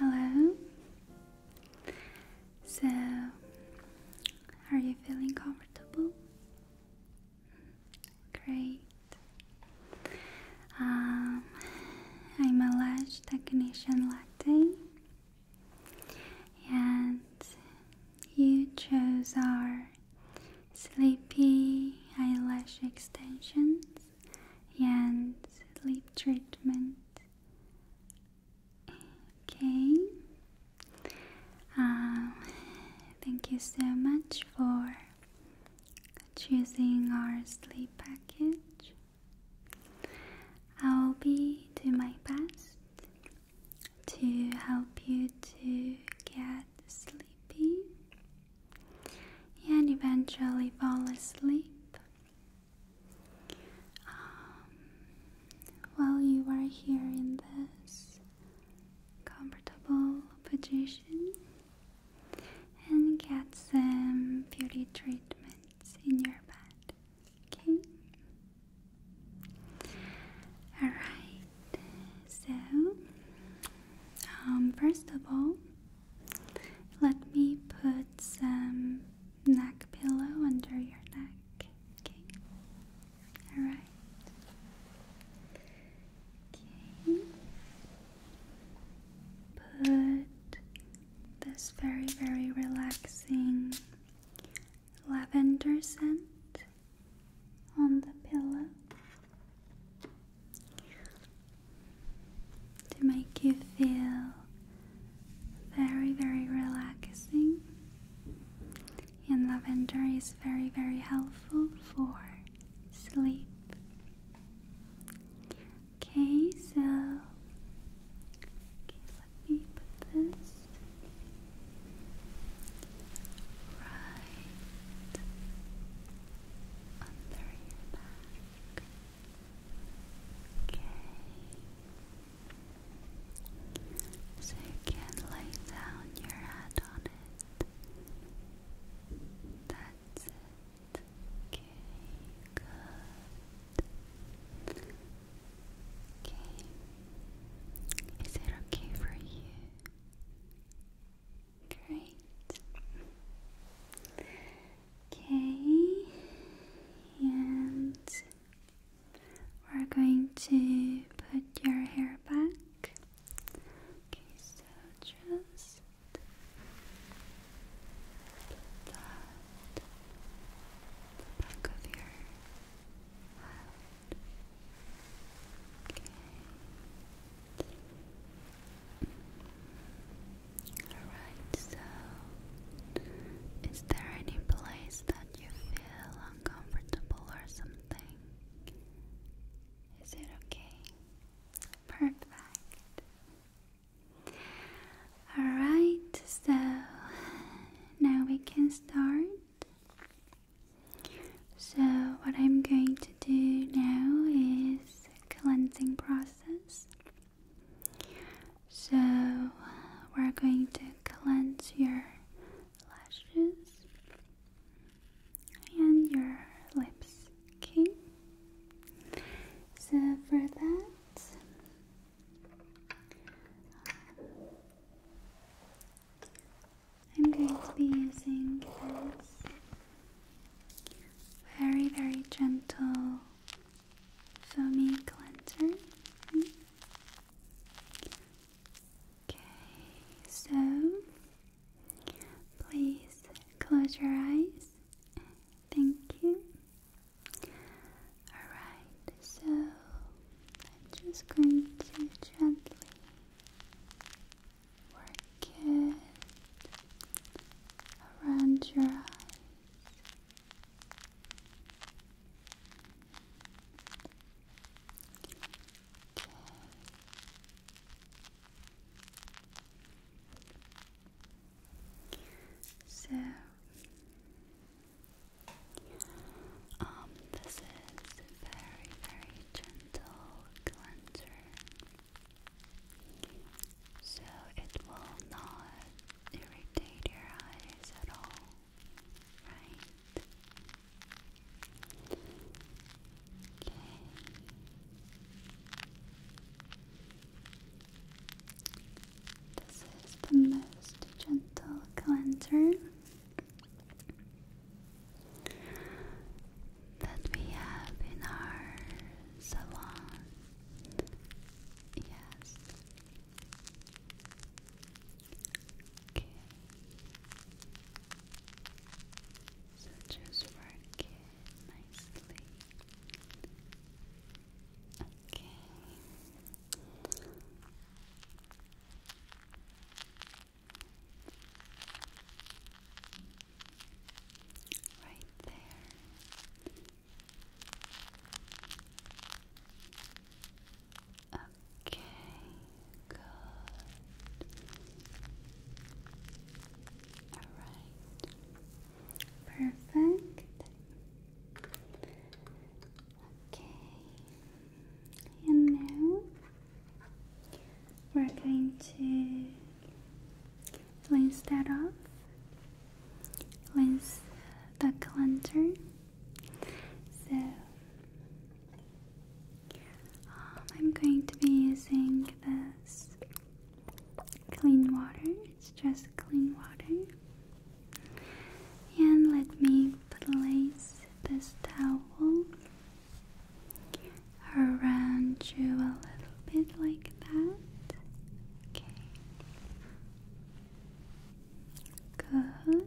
Hello. So, are you feeling comfortable? Great. Um, I'm a lash technician latte, and you chose our sleepy eyelash extensions and sleep treatment. Okay, um, thank you so much for choosing our sleep package. I'll be doing my best to help you to get sleepy and eventually fall asleep. Um, while you are hearing this comfortable position and get some beauty treatments in your bed. Okay? Alright, so um, first of all, let me put some neck pillow under your neck. Okay? Alright. Okay. Put this very, very relaxing lavender scent on the pillow to make you feel very, very relaxing and lavender is very, very helpful for sleep. Okay, so let me put this right under your back. Okay. So you can lay down your head on it. That's it. Okay, good. Okay. Is it okay for you? Great. Okay. And we're going to put your hair back. Okay, so just the back of your head. Okay. Alright, so is there any place that you feel uncomfortable or something? Is it okay? Perfect. Alright, so now we can start. So, what I'm going to do now is cleansing process. So, we're going to cleanse your lashes and your lips. Okay, so for that, I'm going to be using this very, very gentle foamy cleanser. Okay, so Please close your eyes. Thank you. Alright, so I'm just going to gently work it around your eyes. So, um, this is very, very gentle cleanser. So it will not irritate your eyes at all, right? This is the most gentle cleanser that we have in our salon. Yes. Okay. So just work it nicely. Okay. Right there. Okay. Okay, good. All right. Perfect. Okay. And now we're going to rinse that off. Rinse the cleanser. So um, I'm going to be using this clean water, it's just clean water. And let me place this towel around you a little bit like that. Okay. Good.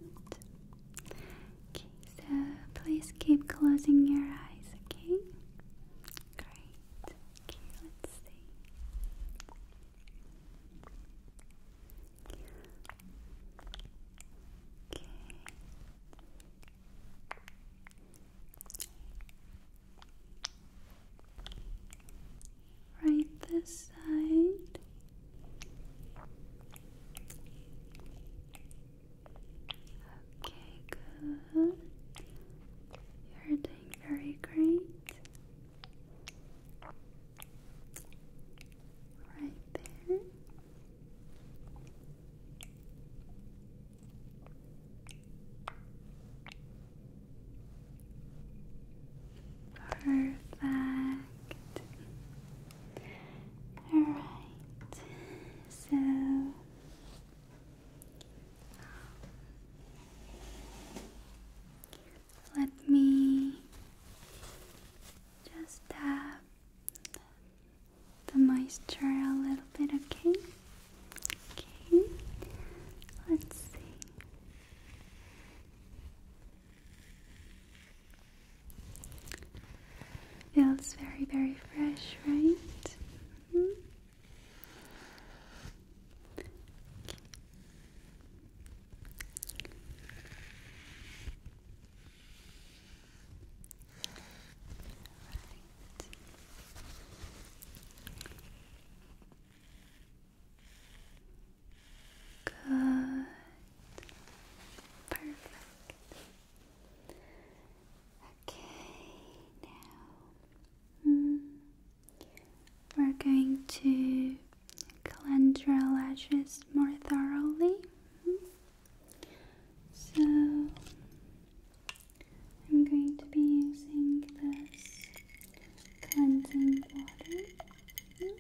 Okay, so please keep closing your eyes, okay? Great. Okay, let's see. Okay. Right this side. Okay, good. You're doing very great. Right there. Perfect. All right. So let me just tap the moisture a little bit, okay? Okay, let's see. Feels very, very fresh, right? Good. Mm-hmm. Perfect. Okay, now hmm, we're going to cleanse your lashes more thoroughly. So I'm going to be using this cleansing water.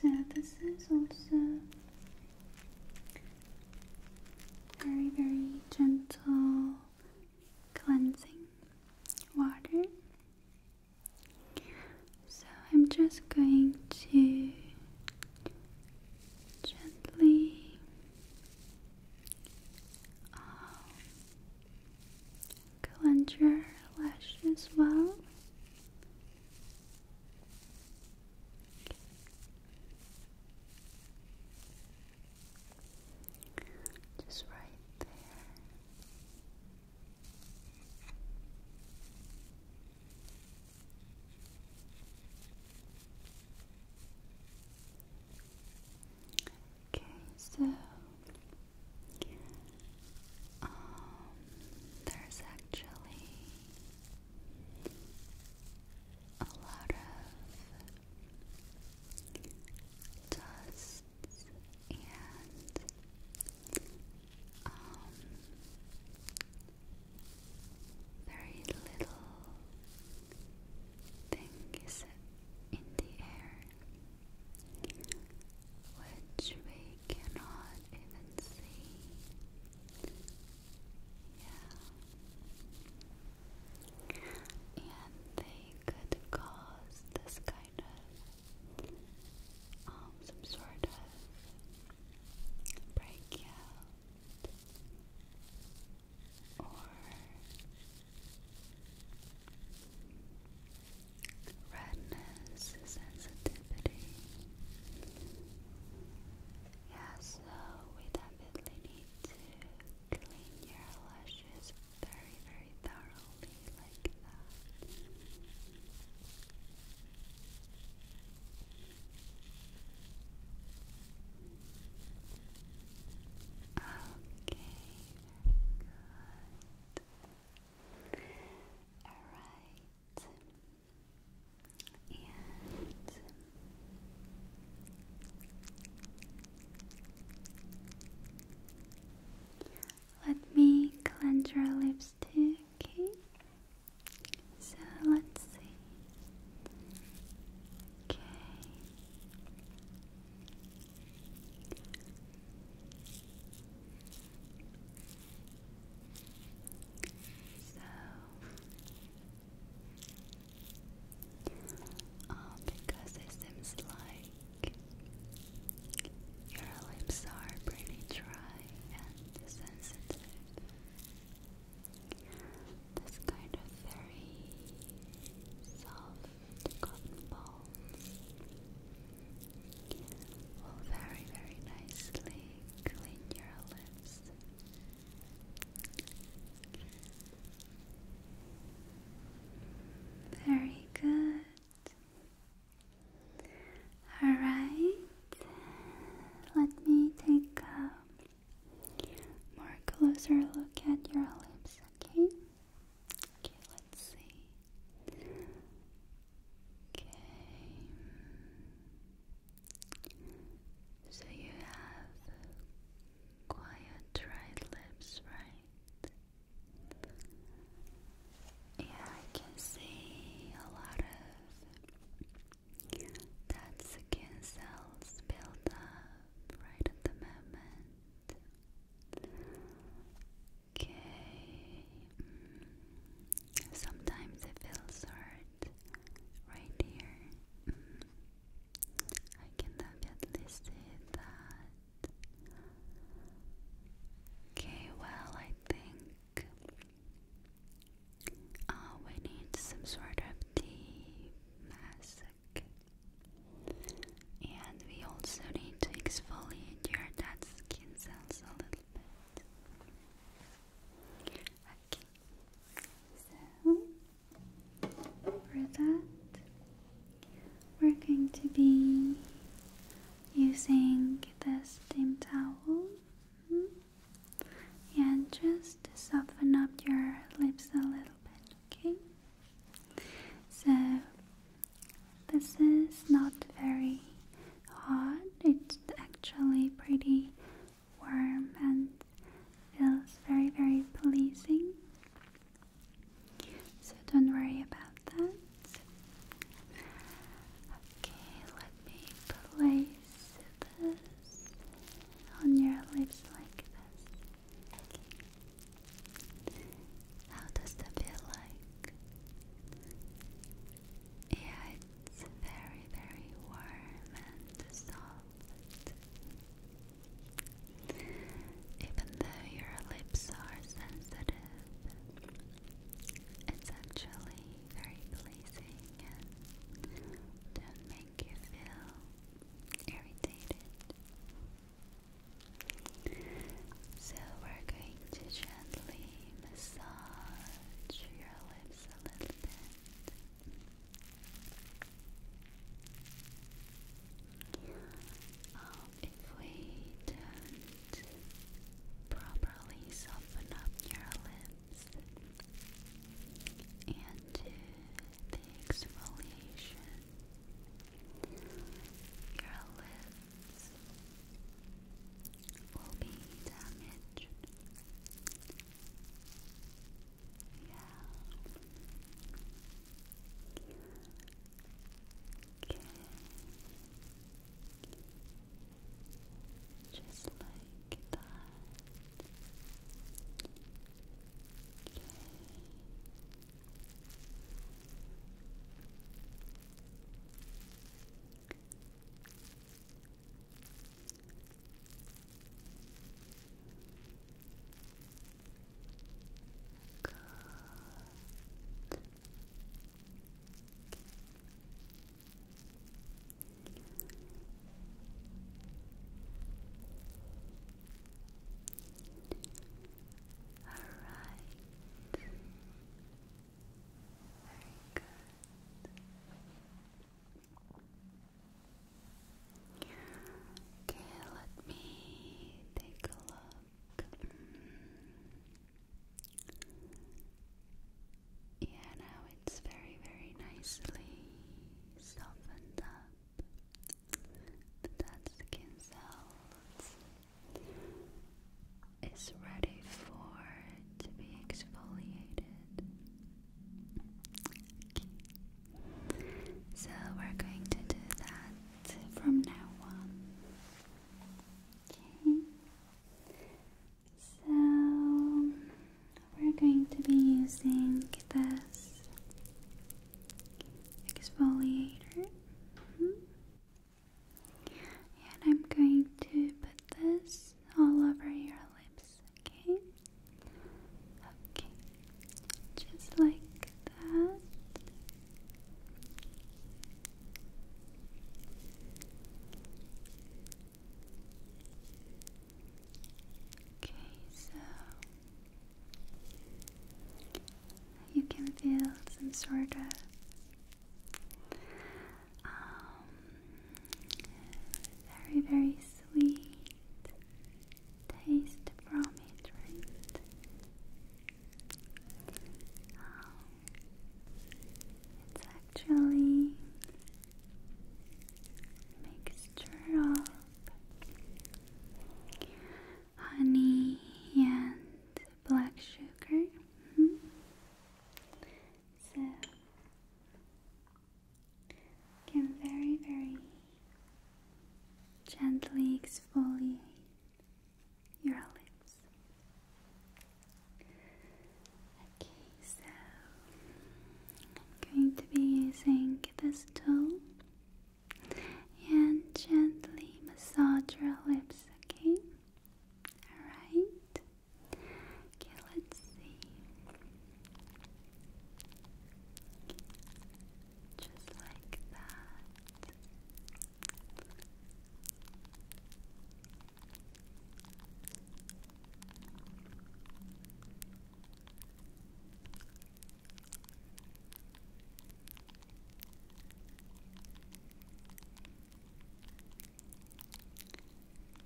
So this is also very, very gentle cleansing water. So I'm just going to gently um, cleanse your lash as well. Just right there. Okay, so um, there's actually a lot of dust and um, very little thing in the air, which we cannot even see yeah. And they could cause this kind of um, some sort of breakout or redness, sensitivity, yeah, so we definitely need to clean your lashes very, very thoroughly like that. Okay, good. Alright let me cleanse your lips too, okay? So let's see. Okay. So oh, because it seems like your lips are pretty dry and sensitive. This kind of very soft cotton balls will very, very nicely clean your lips. Very good. All right, let me take a more closer look at your lips, okay? Okay, let's see. Okay. So you have quiet, dry lips, right? Yeah, I can see a lot of that skin cells build up right at the moment. Okay. Mm, sometimes it feels hard right here. Mm-hmm. I can definitely see that. Okay, well, I think uh, we need some sort of deep mask, and we also need to exfoliate your dead skin cells a little bit. Okay. So for that, we're going to be using the steam towel and just soften up your lips a little bit, okay? So this is not very hot. it's actually pretty warm and feels very, very pleasing. So don't worry about that. Okay, let me place this on your lips like this. How does that feel like? Yeah, it's very, very warm and soft. Even though your lips are sensitive, it's actually very pleasing don't make you feel irritated. So we're going to gently massage your lips a little bit if we don't properly soften up your lips and do the exfoliation, your lips will be damaged. Yeah. Okay. Just like that. Okay. Good. All right. Very good. Okay, let me take a look. Yeah, now it's very, very nicely softened up. The dead skin cells is ready for to be exfoliated. So we're going to do that from now on. Okay. So we're going to be using this exfoliator. Mm-hmm. And I'm going to put this all over your lips, okay? Okay, just like that. Okay, so you can feel some sort of um, very, very sweet taste from it, right? Um, it's actually mixture of honey and black sugar. Mm-hmm. So can very, very gently exfoliate your lips. Okay, so I'm going to be using this tool and gently massage your lips, okay? Alright. Okay, let's see. Just like that. Okay,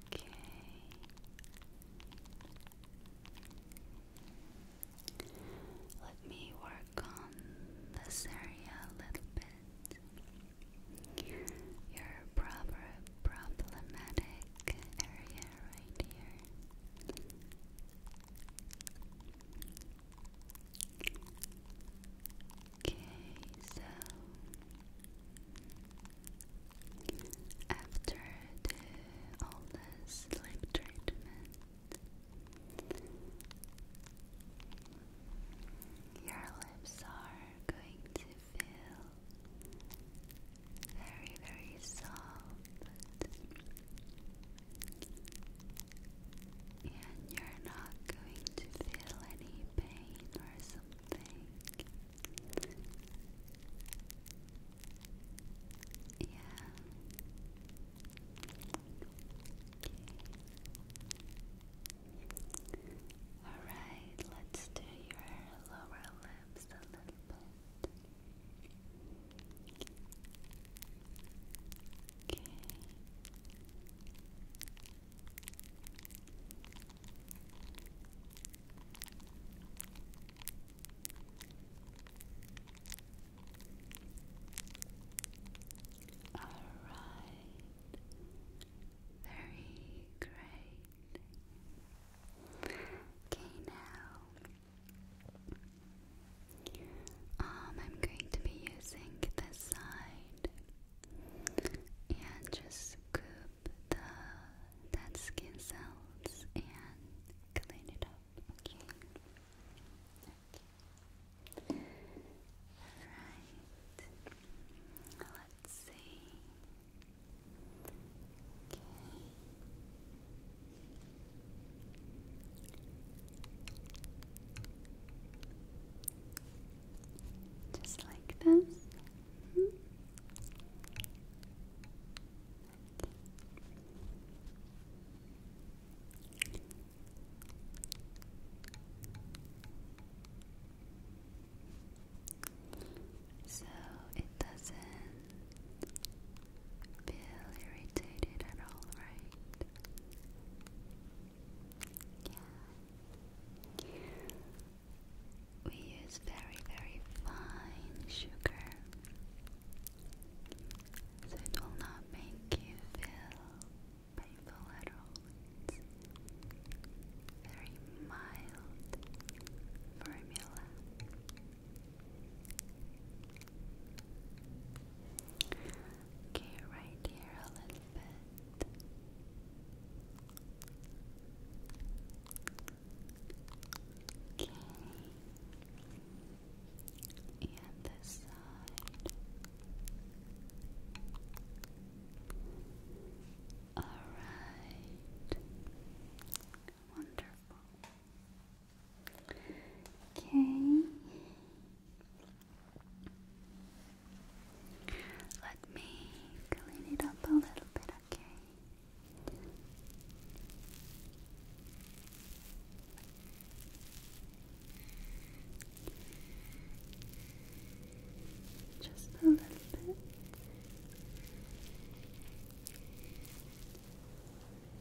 Okay. Let me work on this area a little bit. Your proper problematic area right here. Okay, so after the, all the treatment, your lips are going to feel very, very soft, and you're not going to feel any pain or something. Yeah. Alright, let's do your lower lips a little bit. Okay. All right, very great. Okay, now um, I'm going to be using this side and just scoop the that skin cells and clean it up, okay? Alright. Let's see. Just like this. Mm-hmm. So it doesn't feel irritated at all, right? Yeah we use very, very fine sugar so it will not make you feel painful at all. It's very mild formula. Okay, right here a little bit. Okay. And this side. All right. Wonderful. Okay. Let me clean it up a little bit, just a little bit.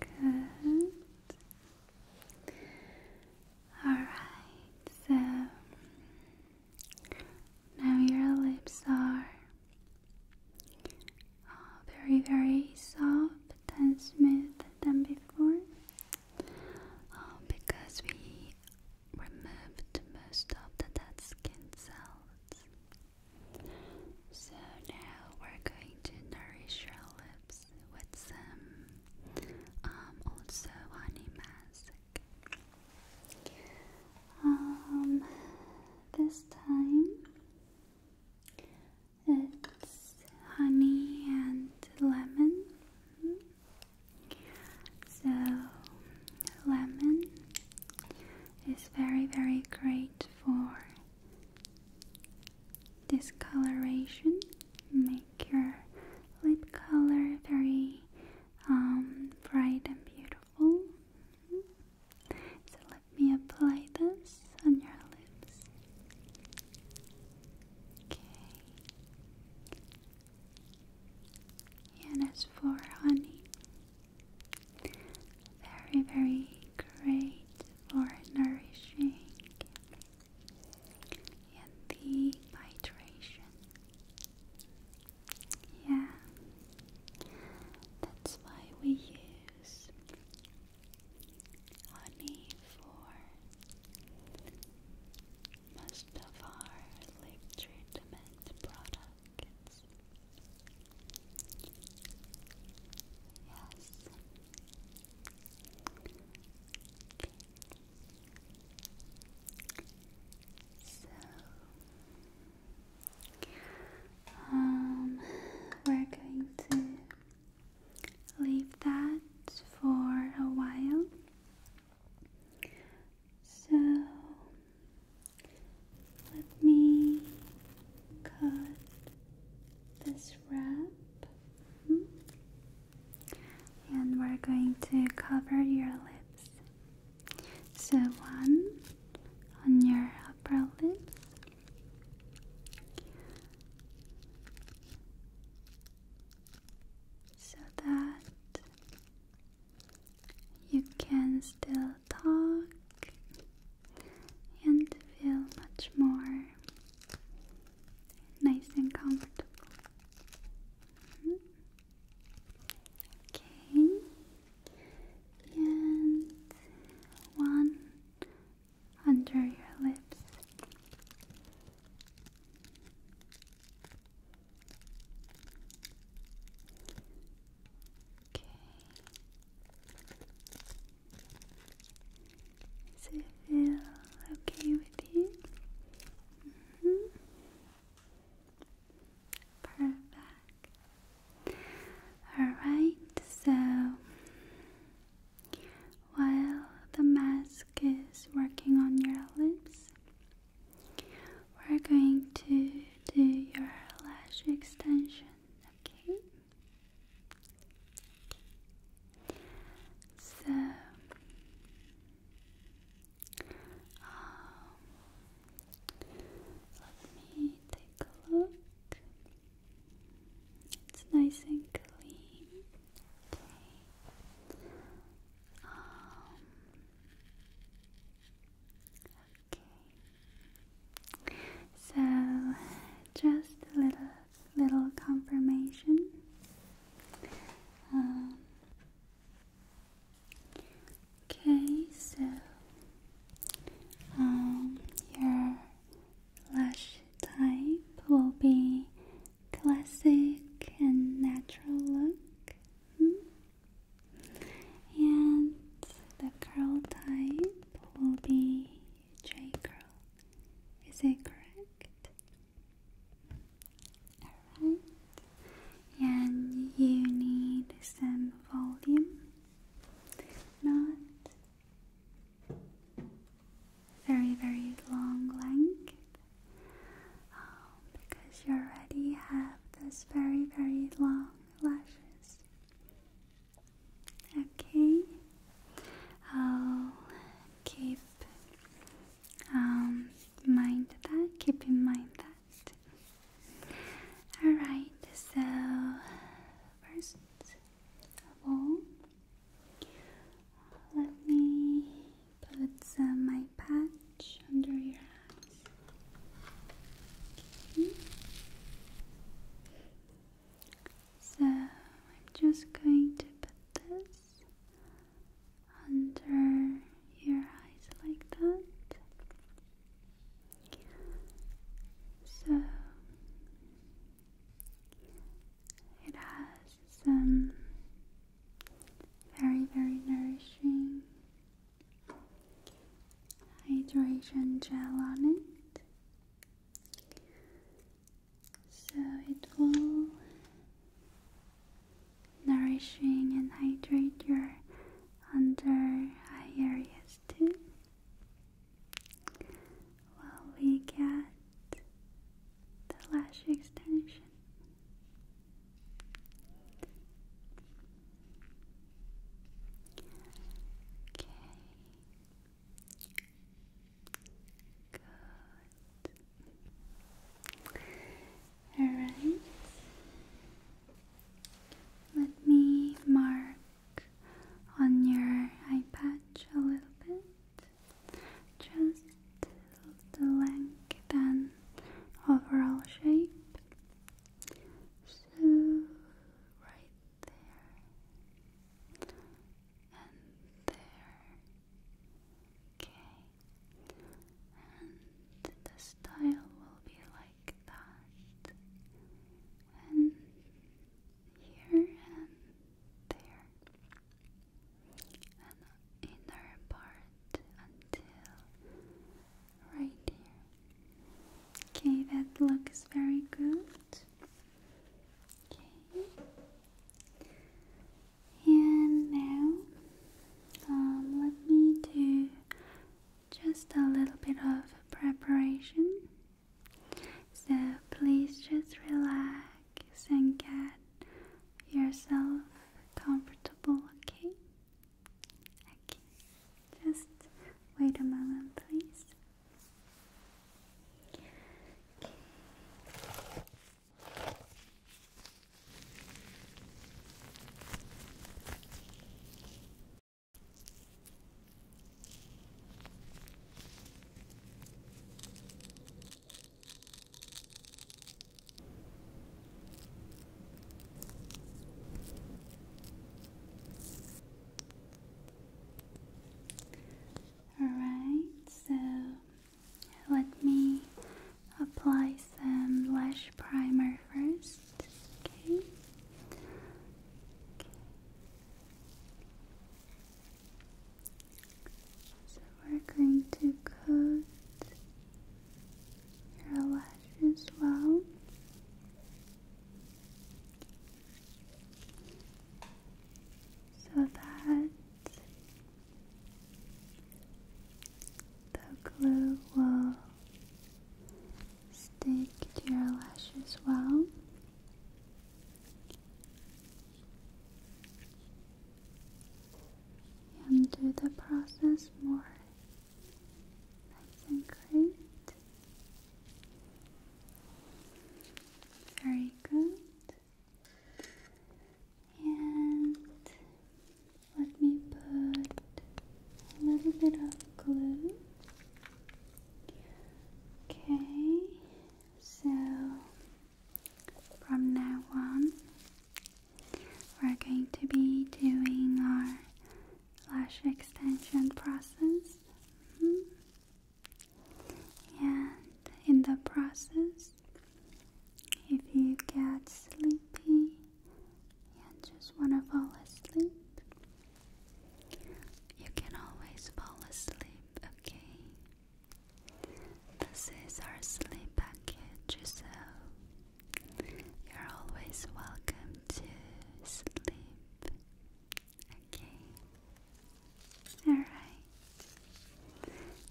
Good. All right, so now your lips are uh, very, very soft and smooth than before uh, because we removed most of the dead skin cells. So now we're going to nourish your lips with some um, also honey mask. Um, this time it's honey and lemon. So, lemon is very, very great for discoloration, make your lip color very um, bright and beautiful. So let me apply this on your lips. Okay. And as for honey, very, very great for nourishing and the hydration. Yeah, that's why we use honey for most of our lip treatment products. Yes. So, um, we're going to leave that for a while. So let me cut this wrap hmm? and we're going to cover your lips so one on your upper lip. So that you can still talk and feel much more nice and comfortable. Mm-hmm. Okay, and one under your lips. Okay. Does it feel okay with you? Mm-hmm. Perfect. Alright, so while the mask is working on your lips, we're going to do your lash extension, okay? So um, let me take a look. It's nice and clean. Okay. Um, okay. So just a little little confirmation. Um, Okay, so um, your lash type will be classic and natural look, hmm? and the curl type will be J curl. Is it correct? Alright and you need some volume, not very, very long length um, because you already have this very, very long lashes. Okay, I'll keep um, mind that, keep in mind that. Alright, so first of all, let me put my patch under your eyes. So I'm just going to put this under your eyes like that. So it has some very, very nourishing hydration gel on it. So it will nourishing and hydrate your under eye areas too. While we get the lash extension. Okay. Good. All right. Let me mark on your eye patch a little bit, just the length and overall shape. So, right there and there. Okay, and the style will be like and here and there, and inner part until right here. Okay, that looks very good. Okay. And now, let me do just a little bit of preparation. So please just relax and get yourself comfortable, okay? Okay, just wait a moment, please. Alright, so let me apply some lash primer first. So we're going to coat your lashes well. So that the glue will stick to your lashes well. And do the process more nice and great. Very good. And let me put a little bit of glue. Okay, so from now on, we're going to be doing our lash extension process. Mm-hmm. And in the process, if you get sleepy, you just want to fall asleep, you can always fall asleep, okay? This is our sleep package, so you're always welcome to sleep, okay? Alright,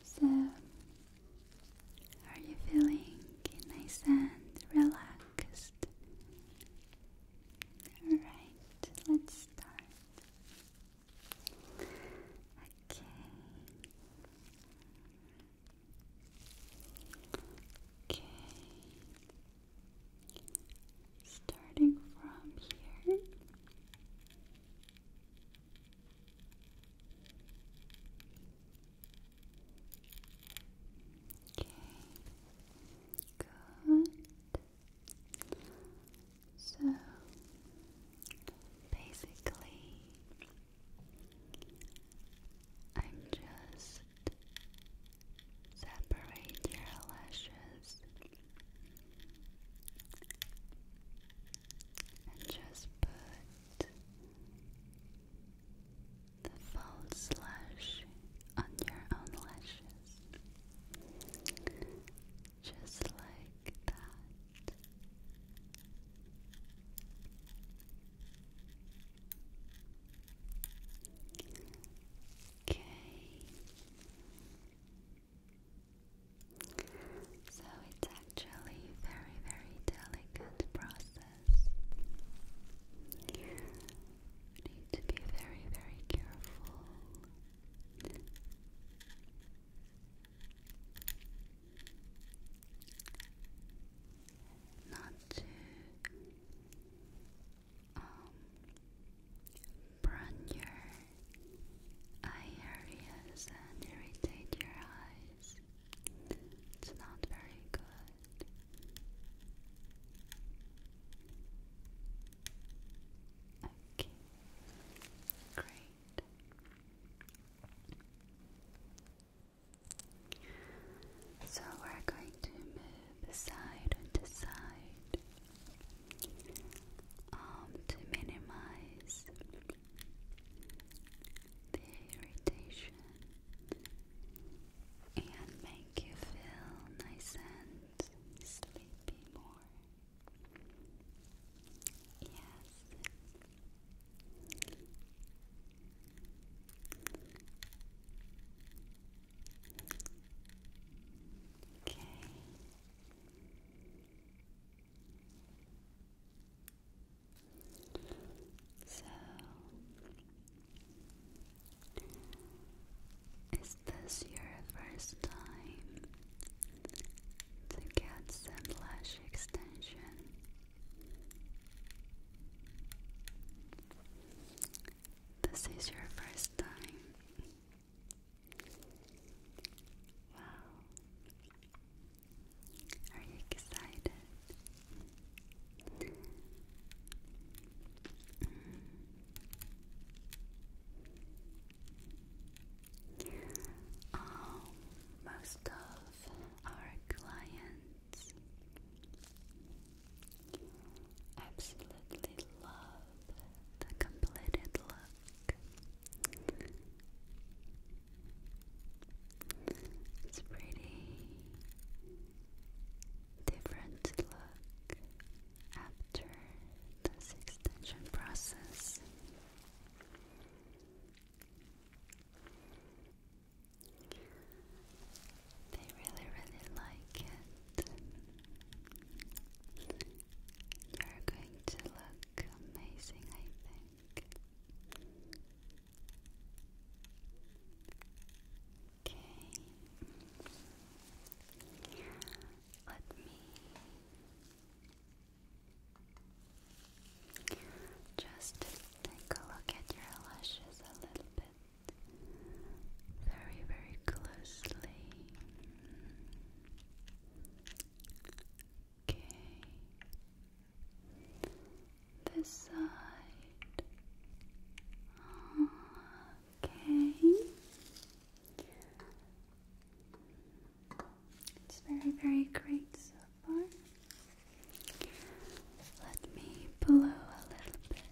so are you feeling nice and relaxed? next. Alright, let's start. Okay. Okay. Starting from here. Okay. Good. So basically, I'm just separate your lashes and just put the false lash on your own lashes, just like that. Okay. So it's actually very very delicate process this. You need to be very, very careful. Not to burn um, your eye areas and irritate your eyes. It's not very good. Okay, great. So we're going to move side to side um, to minimize the irritation and make you feel nice and sleepy more. Yes. Okay. So, is this your first time to get some lash extension? This is your first time. Wow. Are you excited? Um, most of our clients absolutely love the completed look. It's pretty different look after this extension process. They really, really like it. You're going to look amazing, I think. Okay. Let me just take a look at your lashes a little bit. Very, very closely. Okay this side. Okay. It's very, very great so far. Let me blow a little bit.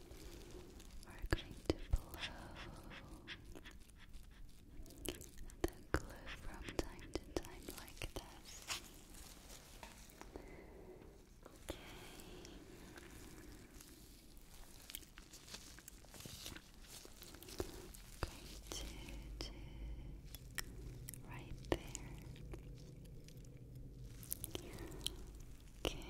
We're going to blow the glue from time to time like this. Okay. right there. Okay.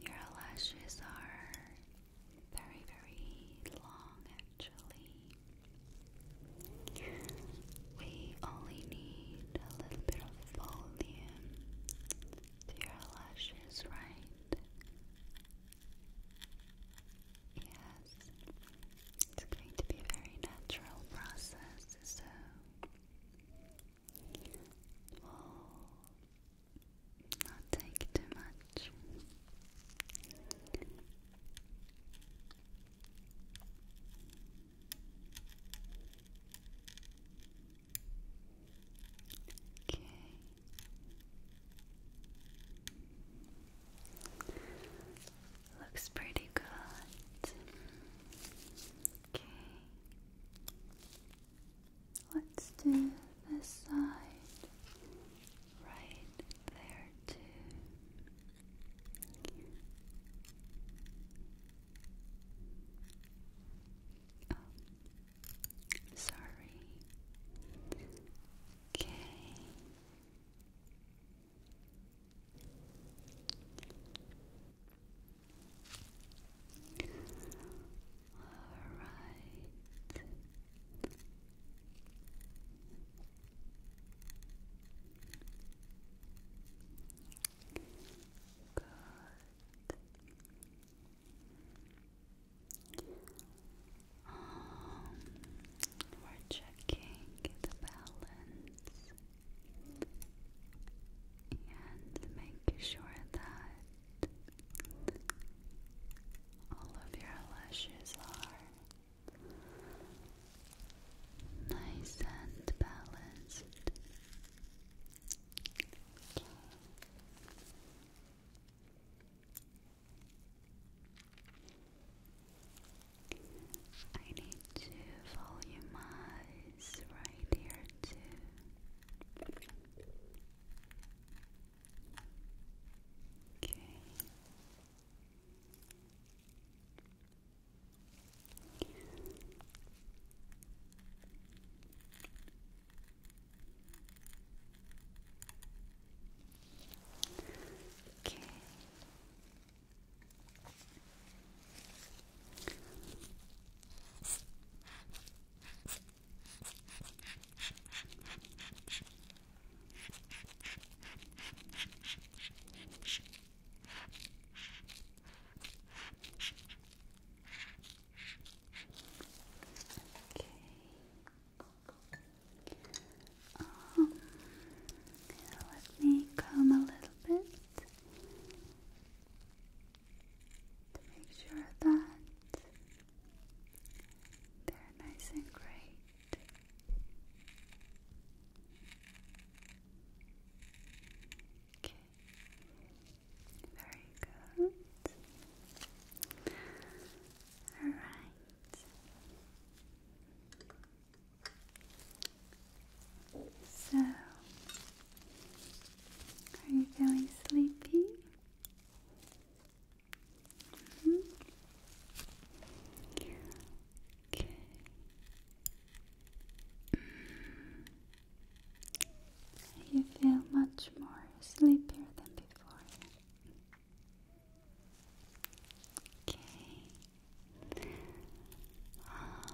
Your lashes are very, very long actually. We only need a little bit of volume to your lashes, right? Yes, it's going to be a very natural process, so will not take too much. Okay. Looks pretty good. Let's do this side right there, Oh, sorry. Okay. Alright. Good. Um, we're checking the balance and make sure that all of your lashes are nice and balanced. I need to volumize right here too. Okay. Okay um, let me comb a little bit to make sure that they're nice and great. Okay, very good. All right. So, are you feeling sleepy? Mm-hmm. Okay. Mm. You feel much more sleepier than before. Okay um,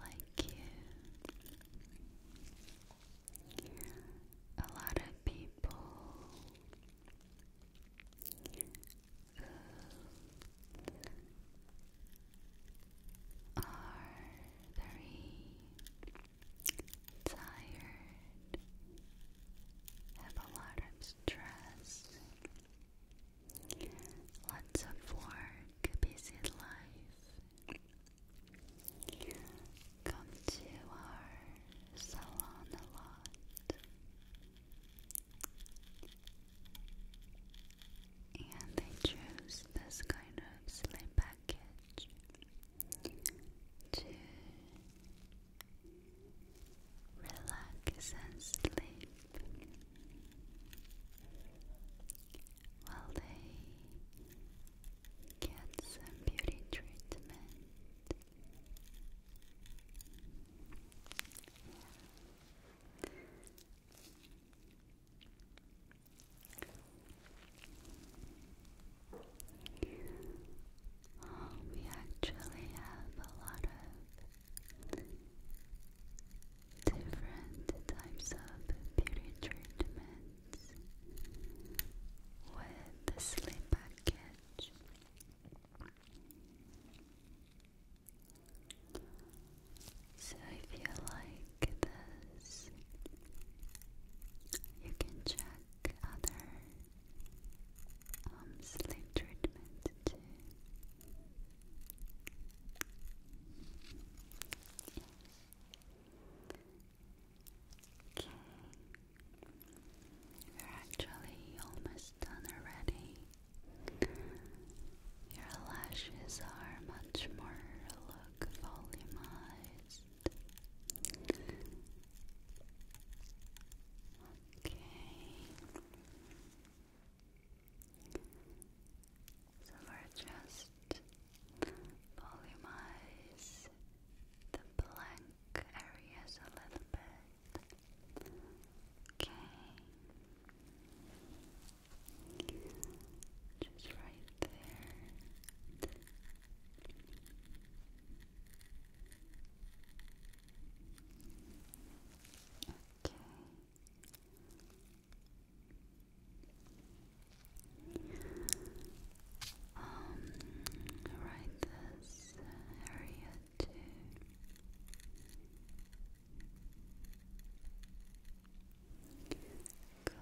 like you, a lot of people who are very tired, have a lot of stress. Lots of work, busy life. Come to our salon a lot. And they choose this kind of sleep package to relax and sleep. While they get some beauty treatment. we actually have a lot of different types of beauty treatments with the sleep package. So if you like this, you can check other um, sleep treatments too. Okay. You're actually almost done already. Your lashes are much more volumized. Okay. So we're just polymize the blank areas a little bit. Okay. Just right there. Okay. Um, right this area too. Good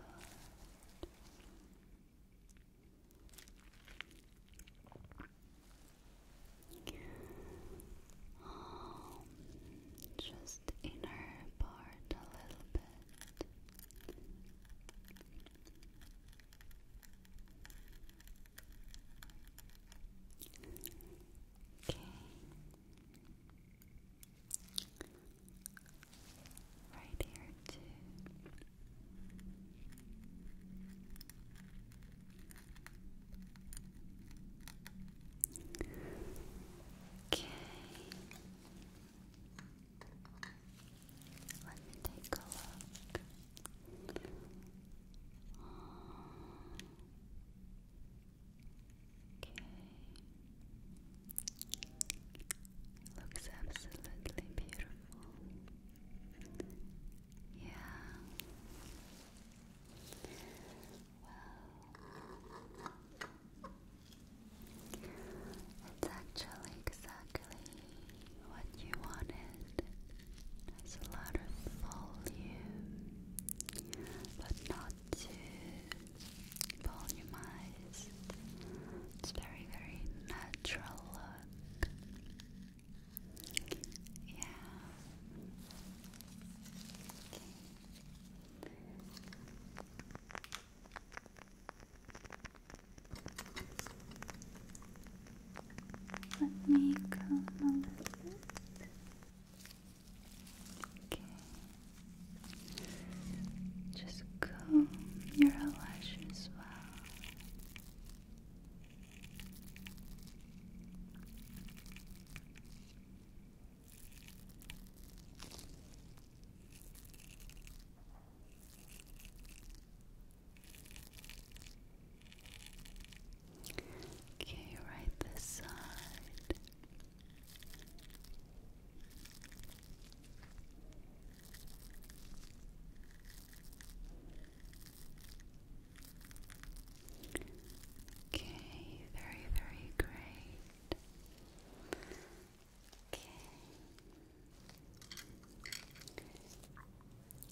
just inner part a little bit. Okay. Right here too. Okay. Let me take a look. Okay. Looks absolutely beautiful. Yeah. Wow. It's actually exactly what you wanted. There's a lot of volume, but not too volumized. It's very, very natural look. Yeah. Let me comb a little bit. Okay. Just comb your eyelashes well. Okay, right this side. Okay, very, very great. Okay.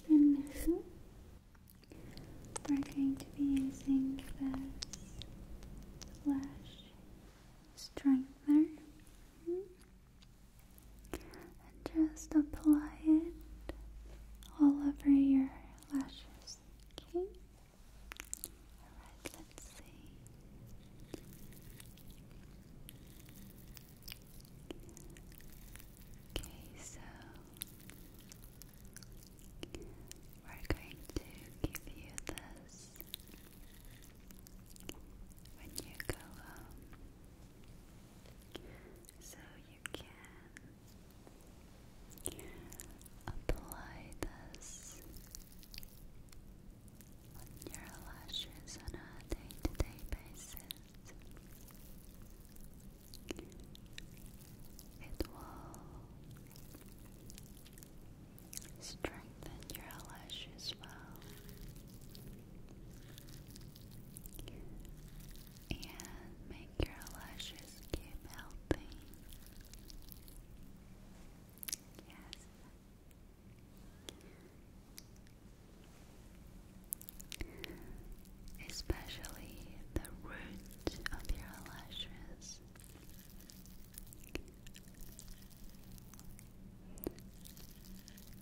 And we're going to be using the lash strengthener and just apply it all over your lashes. Okay. Alright, let's see. Okay, so we're going to give you this when you go home so you can Apply this on your lashes on a day to day basis. It will strengthen your lashes well. And make your lashes keep healthy Yes. Especially the root of your lashes.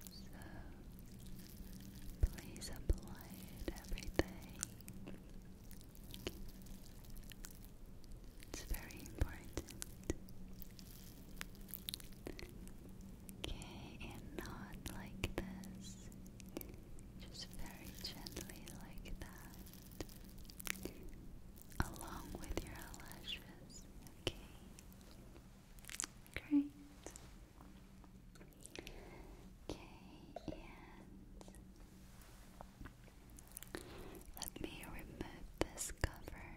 So please apply it every day. It's very important. Okay, and not like this. Just very gently like that. Along with your eyelashes. Okay. Great. Okay, and let me remove this cover.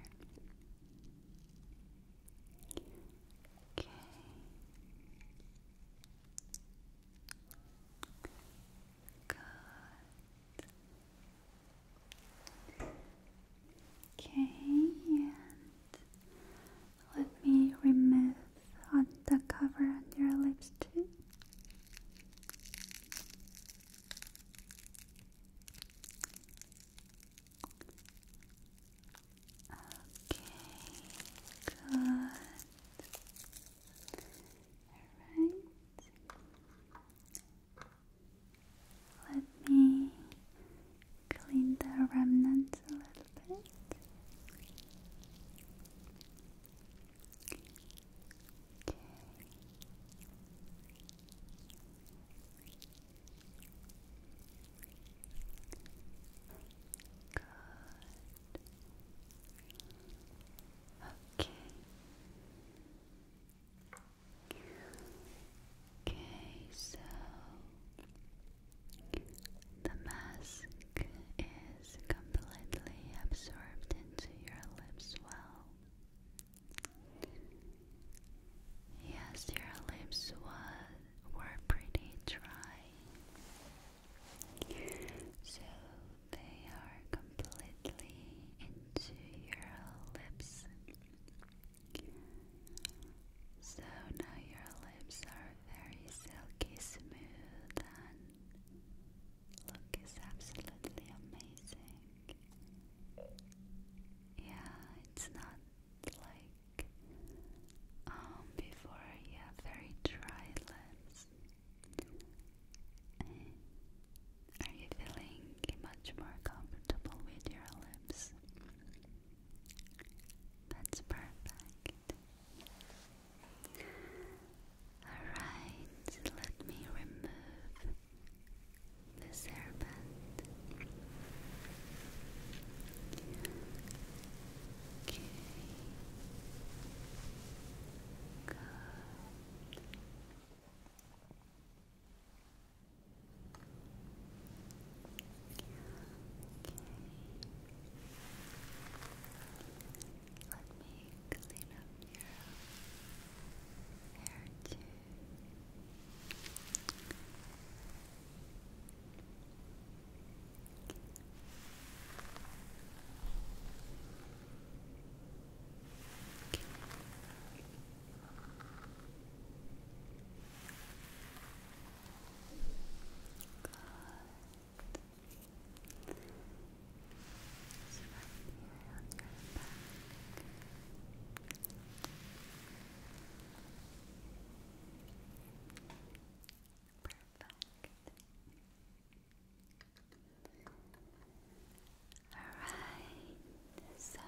Okay. Good. Okay, let me remove on the cover on your lips too. Okay, good. All right. Let me clean the remnants a little bit. Okay. Okay, so the mask is completely absorbed into your lips well. Yes, your lips was, were pretty dry, so they are completely into your lips. So now your lips are very silky smooth and Look is absolutely amazing. Yeah, it's not like um, before yeah, very dry lips. Are you feeling much more comfortable with your lips? That's perfect. Alright, let me remove this hairband. Okay. Good. Let me clean up your hair too. So right Perfect. Alright, so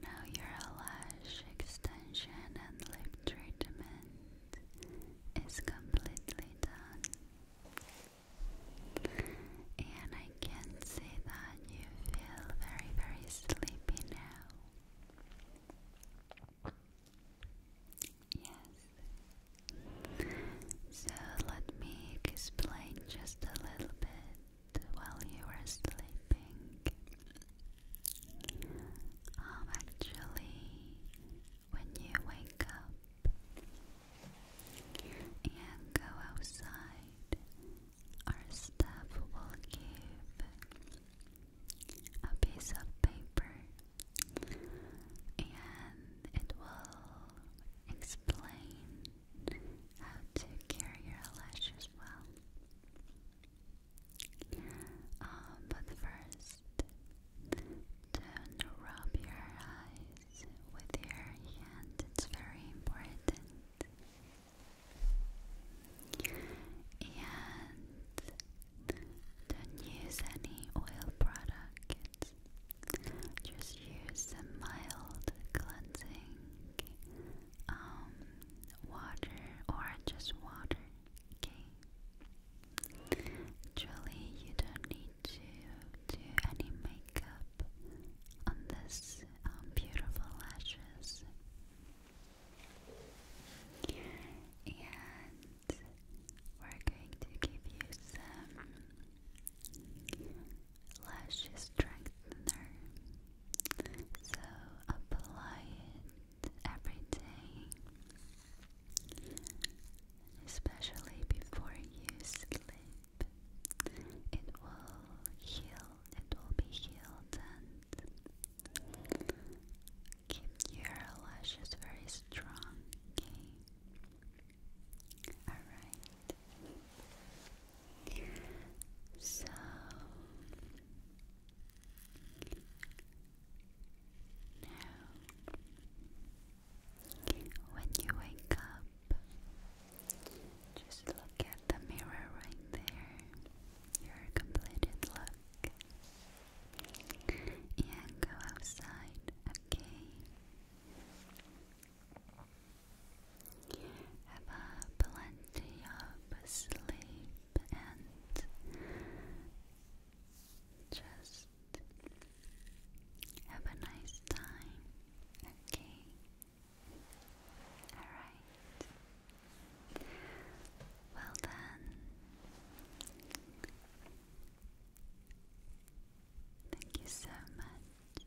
now your lash extension and lip treatment. It's completely done. And I can see that you feel very, very sleepy now. Yes. So let me explain just a little bit while you were sleeping. Um, actually, when you wake up and go outside, our staff will give a piece of paper and it will explain how to care your lashes well. Uh, but first, don't rub your eyes with your hand, it's very important. And don't use any oil products, just use a mild cleansing um, water or just water. Okay. Actually, you don't need to do any makeup on this um, beautiful lashes. And we're going to give you some lash strengthener. So apply it every day, especially before you sleep. It will heal, it will be healed and keep your lashes very strong, okay? Alright. So now, when you wake up, just look at the mirror right there, your completed look, and go outside, okay? Have a plenty of sleep and just have a nice time, okay? Alright. Well done. Thank you so much.